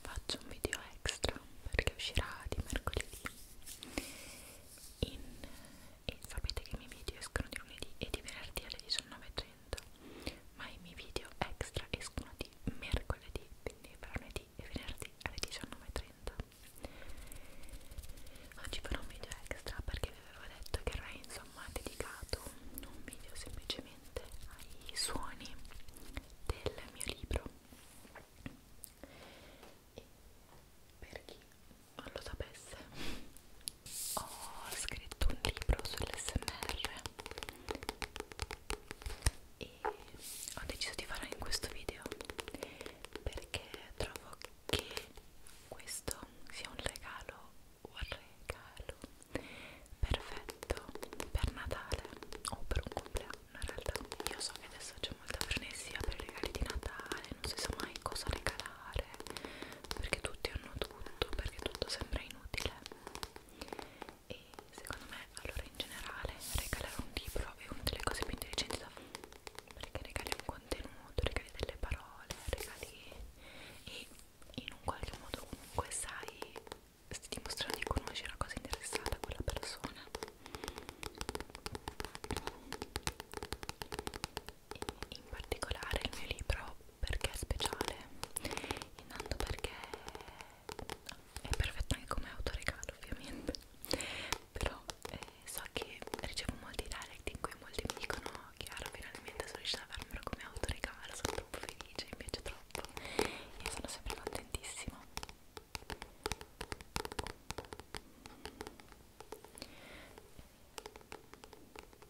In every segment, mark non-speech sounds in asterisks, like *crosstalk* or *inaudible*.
faccio un video extra perché uscirà di mercoledì in, e sapete che i miei video escono di lunedì e di venerdì alle 19.30 ma i miei video extra escono di mercoledì quindi per lunedì e venerdì alle 19.30 oggi farò un video extra perché vi avevo detto che era insomma dedicato un video semplicemente ai suoni del mio libro e per chi non lo sapesse ho scritto un libro sull'SMR e ho deciso di farlo in questo video perché trovo che questo sia un regalo un regalo perfetto per Natale o per un compleanno in realtà io so che adesso c'è molta frenesia per i regali di Natale non si sa mai cosa regalare perché tutti hanno tutto perché tutto sembra inutile e secondo me allora in generale regalare un libro è una delle cose più intelligenti da fare perché regali un contenuto, regali delle parole, regali e in un qualche modo comunque sai se ti dimostrano di conoscere una cosa interessata a quella persona e in particolare il mio libro perché è speciale intanto perché è perfetto anche come autoregalo ovviamente però eh, so che ricevo molti direct in cui molti mi dicono Chiara finalmente sono riuscita a farmelo come autoregalo sono troppo felice invece trovo fatto io sono sempre contentissima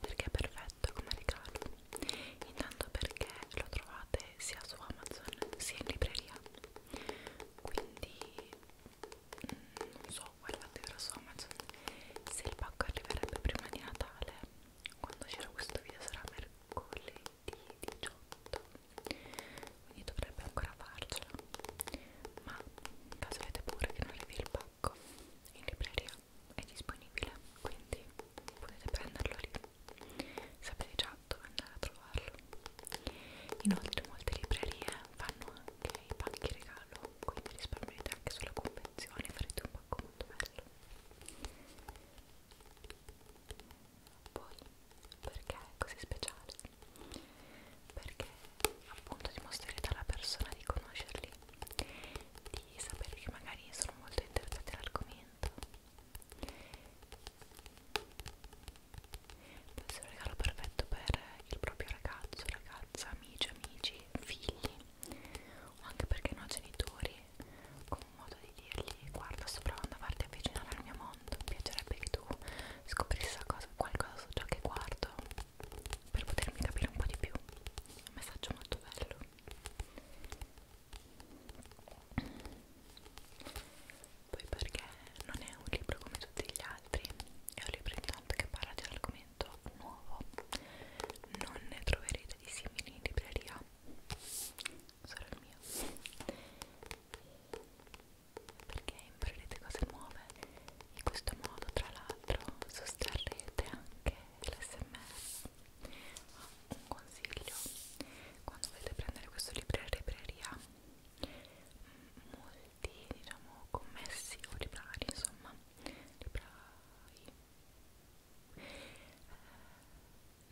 perché è perfetto come regalo intanto perché lo trovate sia su Amazon sia in libreria quindi mm, non so guardate ora su Amazon se il pacco arriverebbe prima di Natale quando c'era questo video sarà mercoledì mercoledì 18 quindi dovrebbe ancora farcela ma caso avete pure che non arrivi il pacco in libreria è disponibile quindi potete prenderlo lì sapete già dove andare a trovarlo inoltre molte librerie fanno anche i pacchi regalo quindi risparmiate anche sulla convenzione farete un pacco molto bello poi, perché è così speciale? Perché appunto dimostrerete alla persona di conoscerli, di sapere che magari sono molto interessati all'argomento. Può essere un regalo perfetto per il proprio ragazzo, ragazza, amici, amici, figli o anche perché no genitori con modo di dirgli guarda sto provando a farti avvicinare al mio mondo mi piacerebbe che tu scoprissi qualcosa su ciò che guardo per potermi capire un po' di più un messaggio molto bello poi perché non è un libro come tutti gli altri è un libro intanto che parla di un argomento nuovo non ne troverete di simili in libreria sarà il mio perché imparerete cose nuove in questo modo tra l'altro sosterrete anche l'SMR oh, un consiglio quando volete prendere questo libro in libreria molti diciamo commessi o librari insomma librai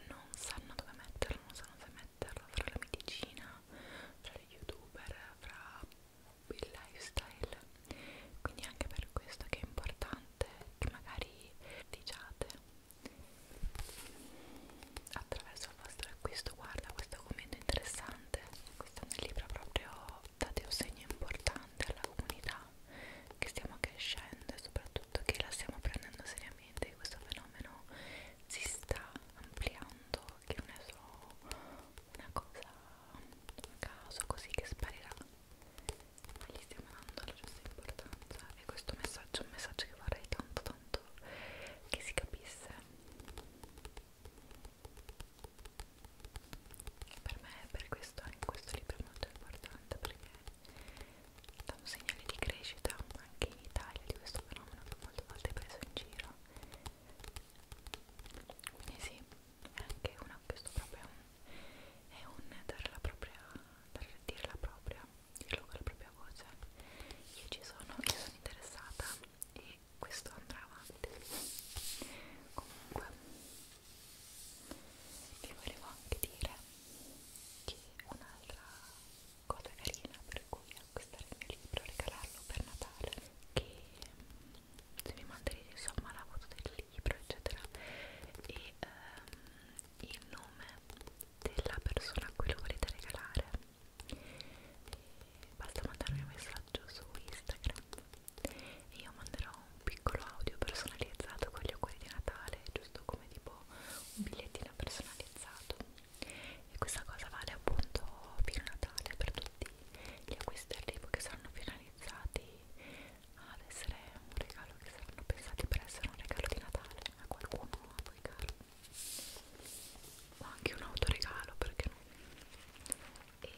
non sanno dove metterlo, non sanno se metterlo fra la medicina, fra gli youtuber, fra il lifestyle quindi anche per questo che è importante che magari diciate attraverso il vostro acquisto guarda questo commento interessante questo è un libro proprio date un segno importante alla comunità che stiamo crescendo e soprattutto che la stiamo prendendo seriamente, che questo fenomeno si sta ampliando, che non è solo una cosa a caso così che sparirà, ma gli stiamo dando la giusta importanza e questo messaggio è un messaggio che vorrei tanto tanto che si capisse. Per me, per questo, anche questo libro è molto importante perché è un segnale di crescita anche in Italia di questo fenomeno che molte volte è preso in giro quindi sì, è anche una, questo proprio è un dare la propria, dare, dire la propria, dirlo con la propria voce io ci sono, io sono interessata e questo andrà avanti comunque vi volevo anche dire che un'altra cosa carina per cui acquistare il mio libro regalarlo per Natale che se mi manderete insomma la foto del libro eccetera e ehm, il nome della persona a cui lo volete regalare e basta mandarmi un messaggio su Instagram e io manderò un piccolo audio personalizzato con gli auguri di Natale, giusto come tipo un bigliettino personalizzato e questa cosa vale appunto fino a Natale per tutti gli acquisti arrivo che saranno finalizzati ad essere un regalo che saranno pensati per essere un regalo di Natale a qualcuno a voi caro o anche un autoregalo perché no e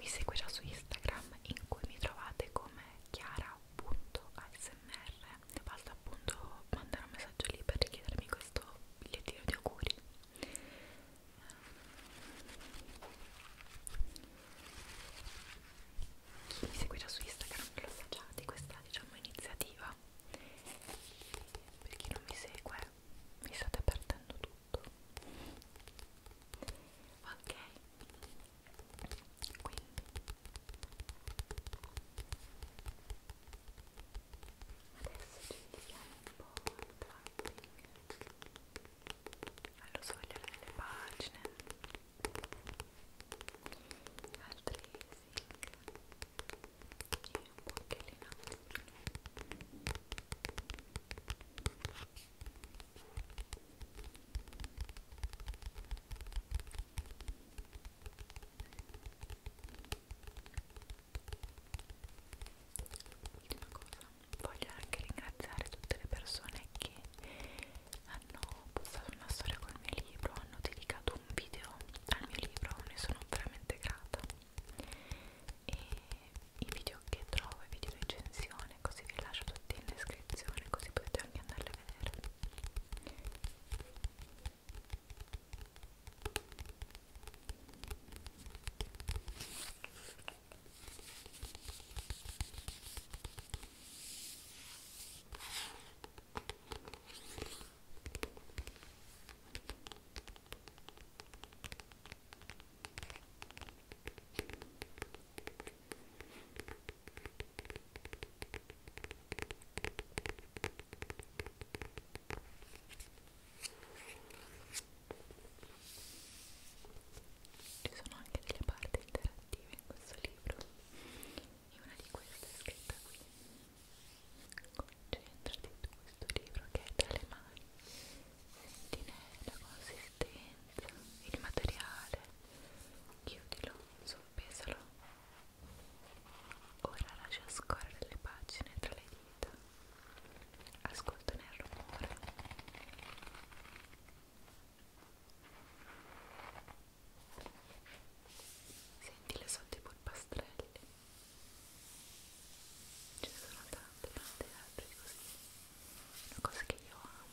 mi segue già su Instagram in cui mi trovate come chiara.asmr basta appunto mandare un messaggio lì per richiedermi questo bigliettino di auguri chi mi seguirà su Instagram lo sa già di questa diciamo iniziativa per chi non mi segue mi state perdendo tutto ok quindi adesso ci dedichiamo un po' al tapping allo sfogliare delle pagine al tracing e un po' anche lì un attimo Ultima cosa, voglio anche ringraziare tutte le persone che hanno postato una storia col mio libro, hanno dedicato un video al mio libro, ne sono veramente grata e i video che trovo, i video recensione, così vi lascio tutti in descrizione, così potete anche andarli a vedere. Ci sono anche delle parti interattive in questo libro e una di queste è scritta qui. Concentrati su questo libro che è tra le mani, sentine la consistenza bellezza, il materiale, chiudilo, soppesalo. Ora lascia scorrere le pagine tra le dita, ascolta nel rumore. Senti le sotto i polpastrelli. Ce ne sono tante, tante altre così una cosa che io amo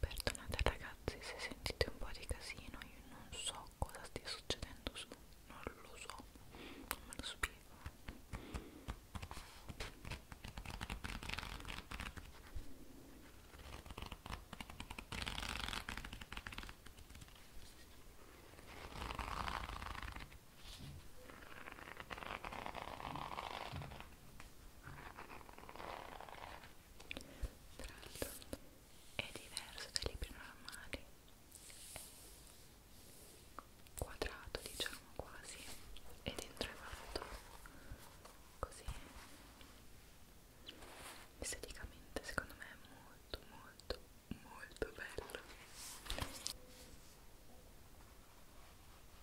Perdonate ragazzi se sentite un po' di casino, io non so cosa stia succedendo su, non lo so, non me lo spiego tra l'altro è diverso dai libri normali è quadrato diciamo quasi e dentro è fatto così esteticamente secondo me è molto molto molto bello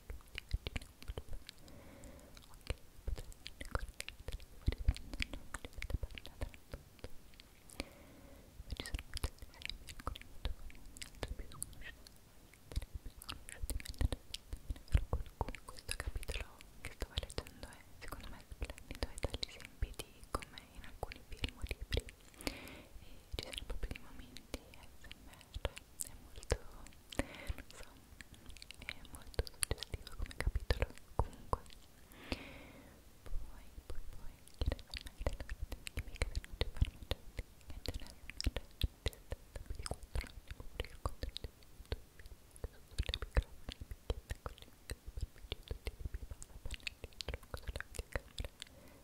in questo capitolo che stavo leggendo è secondo me splendido e dagli esempi di come in alcuni film o libri e ci sono proprio dei momenti ASMR terra è molto, non so, è molto suggestivo come capitolo comunque poi, poi, poi, chi deve mai l'arte chimica della farmaceutica e generalmente artista di controllo pubblico contro il tutto sotto le microfoni, picchietta, così, che superficie, tutti i tipi, basta, panelli, tronco, sulla anche camera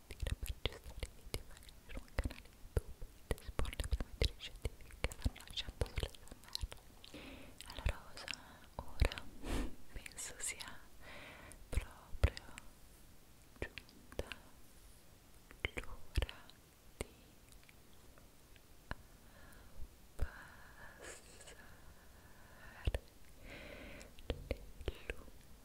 dire per gestire i video magari su un canale YouTube ed esporli per mettere i scientifici che stanno lasciando sull'SMR. Allora cosa ora *laughs* penso sia proprio giunta l'ora di passare le luci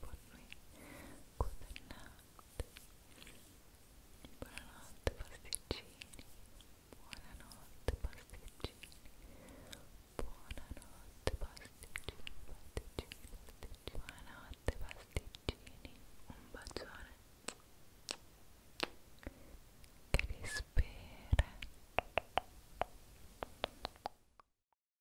buon buonanotte buonanotte pasticcini buonanotte pasticcini buonanotte pasticcini pasticcini pasticcini buonanotte pasticcini un bacione che vi spera